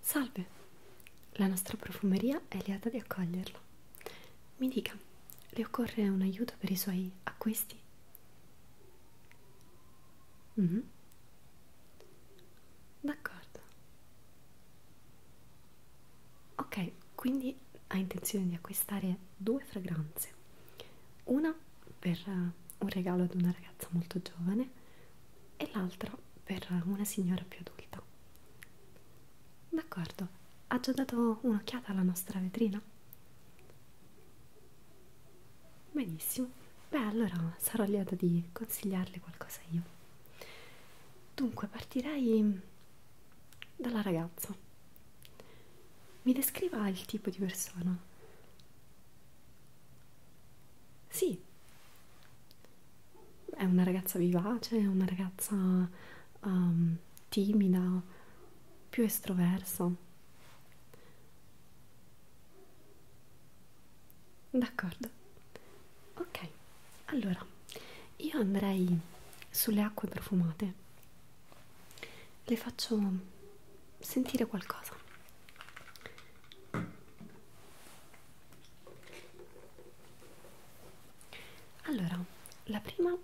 Salve, la nostra profumeria è lieta di accoglierla. Mi dica, le occorre un aiuto per i suoi acquisti? Mm -hmm. D'accordo ok quindi ha intenzione di acquistare due fragranze una per eh, un regalo ad una ragazza molto giovane e l'altra per una signora più adulta d'accordo ha già dato un'occhiata alla nostra vetrina benissimo beh allora sarò lieta di consigliarle qualcosa io dunque partirei dalla ragazza. Mi descriva il tipo di persona. Sì, è una ragazza vivace, è una ragazza um, timida, più estroversa. D'accordo, ok allora io andrei sulle acque profumate le faccio sentire qualcosa allora la prima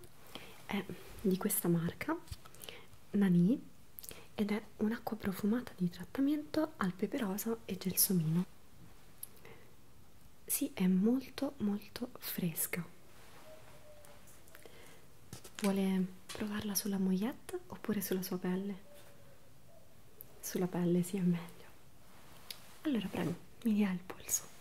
è di questa marca Nani ed è un'acqua profumata di trattamento al peperosa e gelsomino sì, è molto molto fresca. Vuole provarla sulla moglietta oppure sulla sua pelle? Sulla pelle sia sì, meglio. Allora prego, mi dia il polso.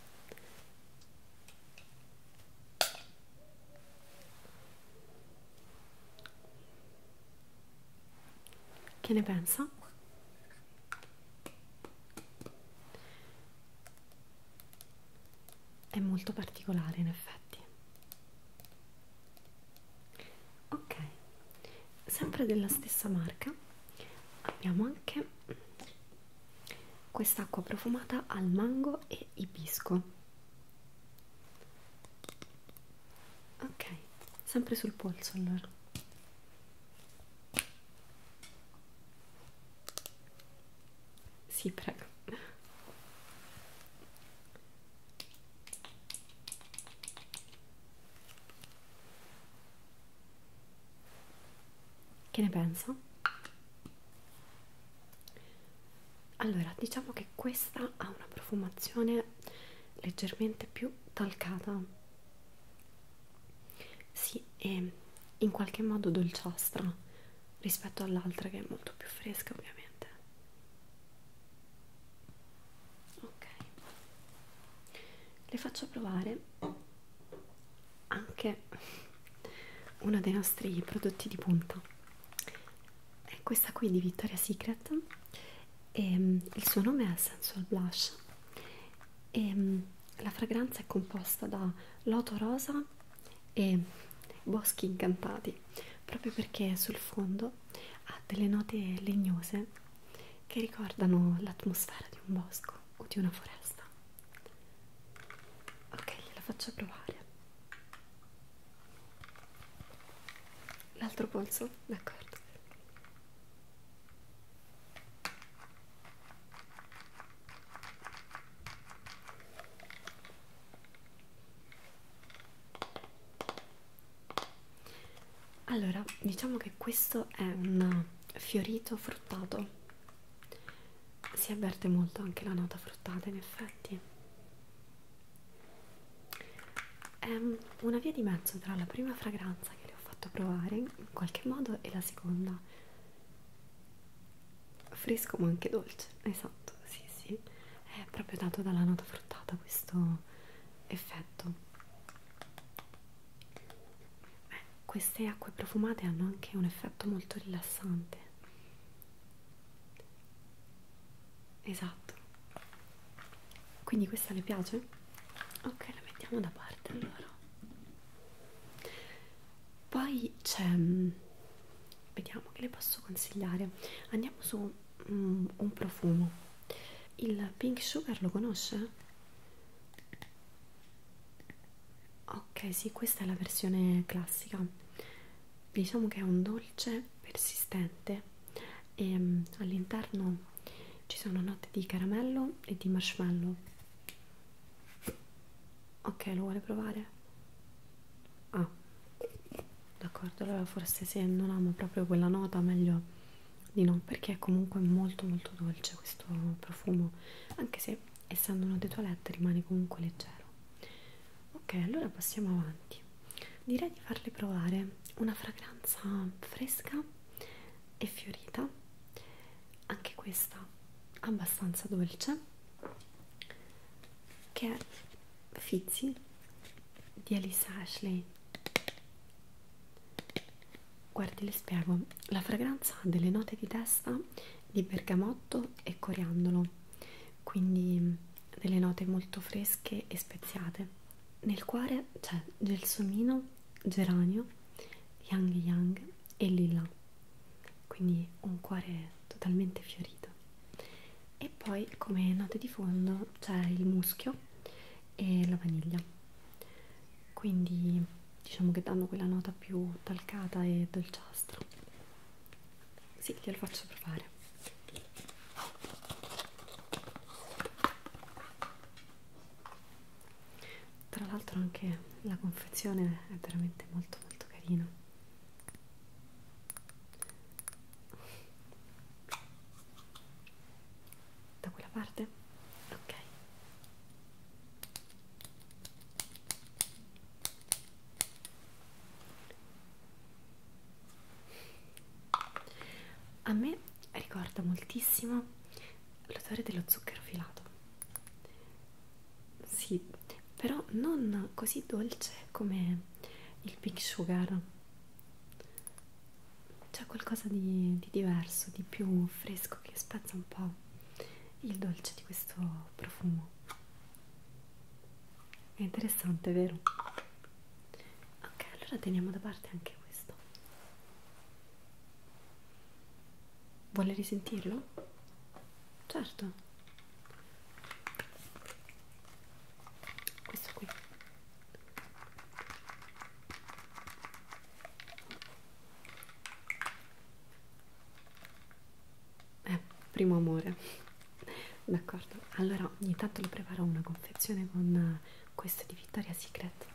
Che ne pensa? è molto particolare in effetti ok sempre della stessa marca abbiamo anche quest'acqua profumata al mango e ibisco ok sempre sul polso allora sì, prego. Che ne pensa? Allora, diciamo che questa ha una profumazione leggermente più talcata sì, è in qualche modo dolciastra rispetto all'altra che è molto più fresca ovviamente. Ok, le faccio provare anche uno dei nostri prodotti di punta. È questa qui di Victoria's Secret e ehm, il suo nome è Sensual Blush e ehm, la fragranza è composta da loto rosa e boschi incantati proprio perché sul fondo ha delle note legnose che ricordano l'atmosfera di un bosco o di una foresta ok gliela faccio provare l'altro polso d'accordo allora, diciamo che questo è un fiorito fruttato. Si avverte molto anche la nota fruttata, in effetti. È ehm, una via di mezzo tra la prima fragranza che le ho fatto provare in qualche modo e la seconda. Fresco ma anche dolce, esatto, sì sì, è proprio dato dalla nota fruttata questo effetto. Beh, queste acque profumate hanno anche un effetto molto rilassante esatto quindi questa le piace? ok la mettiamo da parte allora poi c'è mm, vediamo che le posso consigliare andiamo su mm, un profumo il pink sugar lo conosce? ok sì questa è la versione classica diciamo che è un dolce persistente e ehm, all'interno ci sono note di caramello e di marshmallow ok lo vuole provare? ah d'accordo allora forse se non amo proprio quella nota meglio di no perché è comunque molto molto dolce questo profumo anche se essendo uno dei toilette rimane comunque leggero ok allora passiamo avanti direi di farle provare una fragranza fresca e fiorita anche questa abbastanza dolce che è Fizzy di Alice Ashley guardi le spiego la fragranza ha delle note di testa di bergamotto e coriandolo quindi delle note molto fresche e speziate. Nel cuore c'è gelsomino, geranio, yang yang e lilla, quindi un cuore totalmente fiorito. E poi come note di fondo c'è il muschio e la vaniglia, quindi diciamo che danno quella nota più talcata e dolciastra. Sì, glielo faccio provare. Tra l'altro anche la confezione è veramente molto molto carina. Da quella parte? Ok. A me ricorda moltissimo l'odore dello zucchero filato. Sì, però non così dolce come il Big Sugar. C'è qualcosa di, di diverso, di più fresco che spezza un po' il dolce di questo profumo. È interessante, vero? Ok, allora teniamo da parte anche questo. Vuole risentirlo? Certo. Questo qui eh, primo amore d'accordo allora ogni tanto le preparo una confezione con eh, questo di Victoria Secret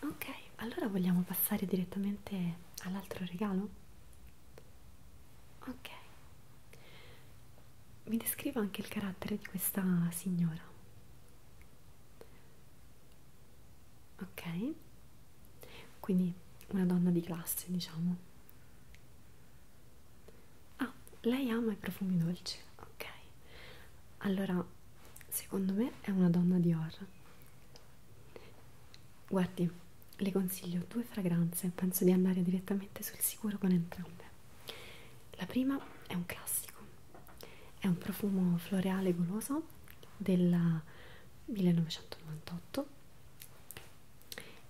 ok allora vogliamo passare direttamente all'altro regalo ok mi descrivo anche il carattere di questa signora ok quindi una donna di classe diciamo ah lei ama i profumi dolci ok allora secondo me è una donna di or guardi le consiglio due fragranze penso di andare direttamente sul sicuro con entrambe la prima è un classico è un profumo floreale goloso del 1998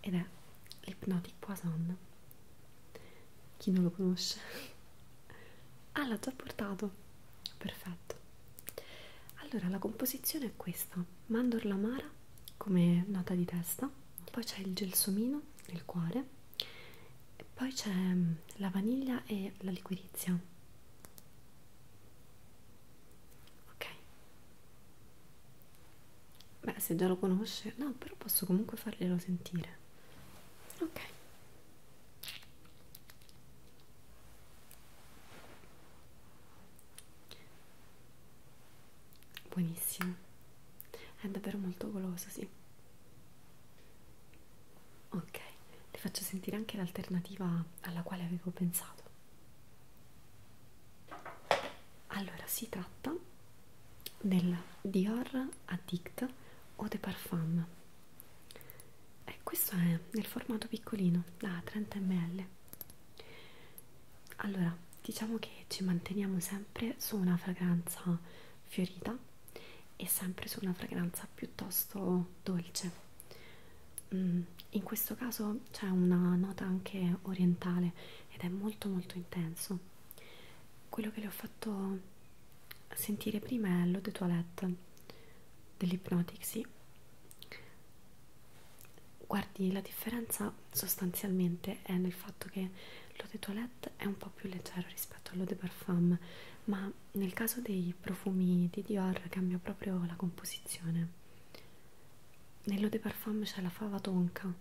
ed è l'ipnotic poison chi non lo conosce ah l'ha già portato perfetto allora la composizione è questa mandorla amara come nota di testa poi c'è il gelsomino nel cuore e poi c'è mm, la vaniglia e la liquirizia ok Beh, se già lo conosce, no, però posso comunque farglielo sentire. Ok. Buonissimo. È davvero molto goloso, sì. Ok, le faccio sentire anche l'alternativa alla quale avevo pensato. Allora, si tratta del Dior Addict Eau de Parfum. E eh, questo è nel formato piccolino, da 30 ml. Allora, diciamo che ci manteniamo sempre su una fragranza fiorita e sempre su una fragranza piuttosto dolce Mm, in questo caso c'è una nota anche orientale ed è molto molto intenso. Quello che le ho fatto sentire prima è l'eau de toilette dell'Hypnotic, sì. Guardi, la differenza sostanzialmente è nel fatto che l'eau de toilette è un po' più leggero rispetto all'eau de parfum, ma nel caso dei profumi di Dior cambia proprio la composizione. Nell'eau de parfum c'è la fava tonka.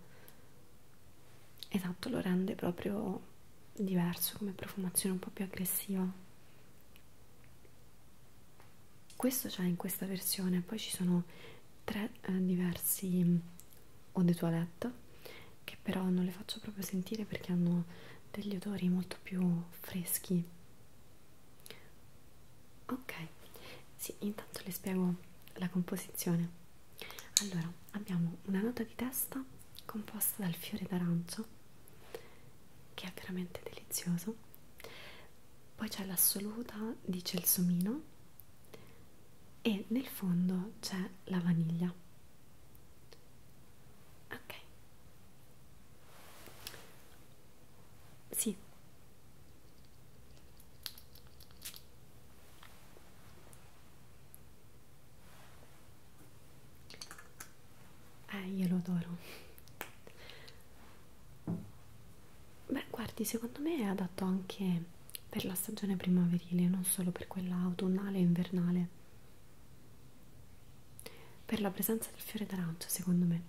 Esatto, lo rende proprio diverso come profumazione un po' più aggressiva. Questo c'è in questa versione, poi ci sono tre eh, diversi mm, eau de toilette che però non le faccio proprio sentire perché hanno degli odori molto più freschi ok sì intanto le spiego la composizione allora abbiamo una nota di testa composta dal fiore d'arancio che è veramente delizioso poi c'è l'assoluta di celsomino e nel fondo c'è la vaniglia ok sì. Eh, io lo adoro. Beh, guardi, secondo me è adatto anche per la stagione primaverile, non solo per quella autunnale e invernale per la presenza del fiore d'arancio secondo me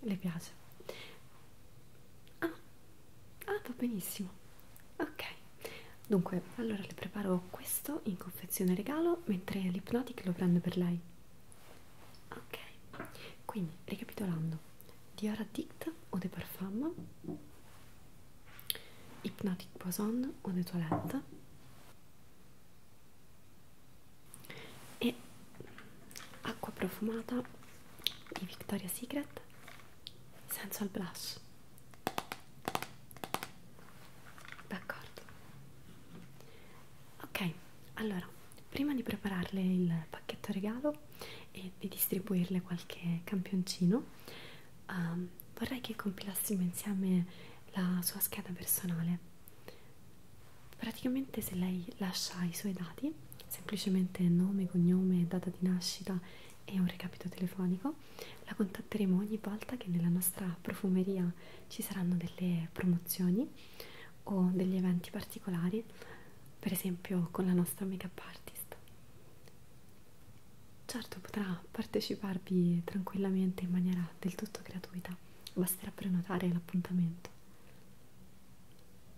le piace ah, ah va benissimo ok dunque allora le preparo questo in confezione regalo mentre l'ipnotic lo prendo per lei ok quindi ricapitolando Dior Addict o de Parfum Hypnotic Poison Eau de Toilette e acqua profumata di Victoria's Secret Sensual Blush d'accordo ok allora prima di prepararle il pacchetto regalo e di distribuirle qualche campioncino um, vorrei che compilassimo insieme la sua scheda personale. Praticamente se lei lascia i suoi dati, semplicemente nome, cognome, data di nascita e un recapito telefonico, la contatteremo ogni volta che nella nostra profumeria ci saranno delle promozioni o degli eventi particolari, per esempio con la nostra make up artist. Certo, potrà parteciparvi tranquillamente in maniera del tutto gratuita, basterà prenotare l'appuntamento.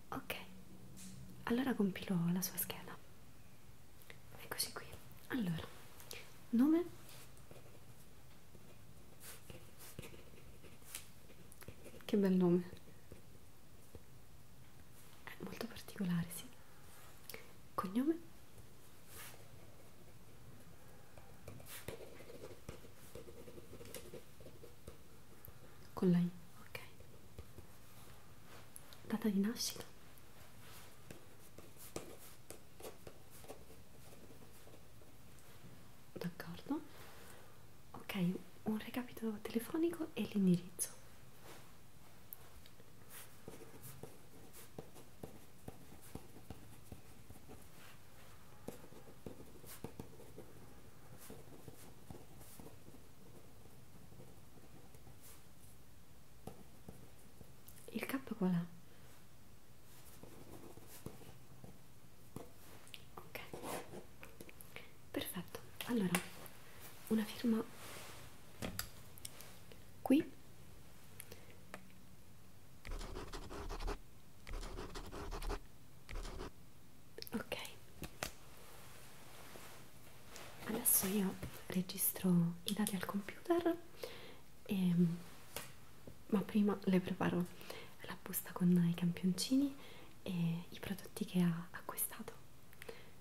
Ok, allora compilo la sua scheda. Eccoci qui. Allora, nome, che bel nome, è molto particolare, sì cognome con la I, ok data di nascita d'accordo ok un recapito telefonico e l'indirizzo il K qual è? Ok, perfetto. Allora, una firma qui ok adesso io registro i dati al computer e, ehm, ma prima le preparo la busta con i campioncini e i prodotti che ha acquistato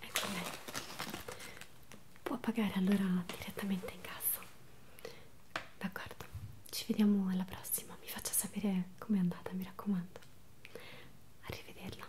Ecco bene. Può pagare allora direttamente in cassa. D'accordo. Ci vediamo alla prossima. Mi faccia sapere com'è andata, mi raccomando. Arrivederla.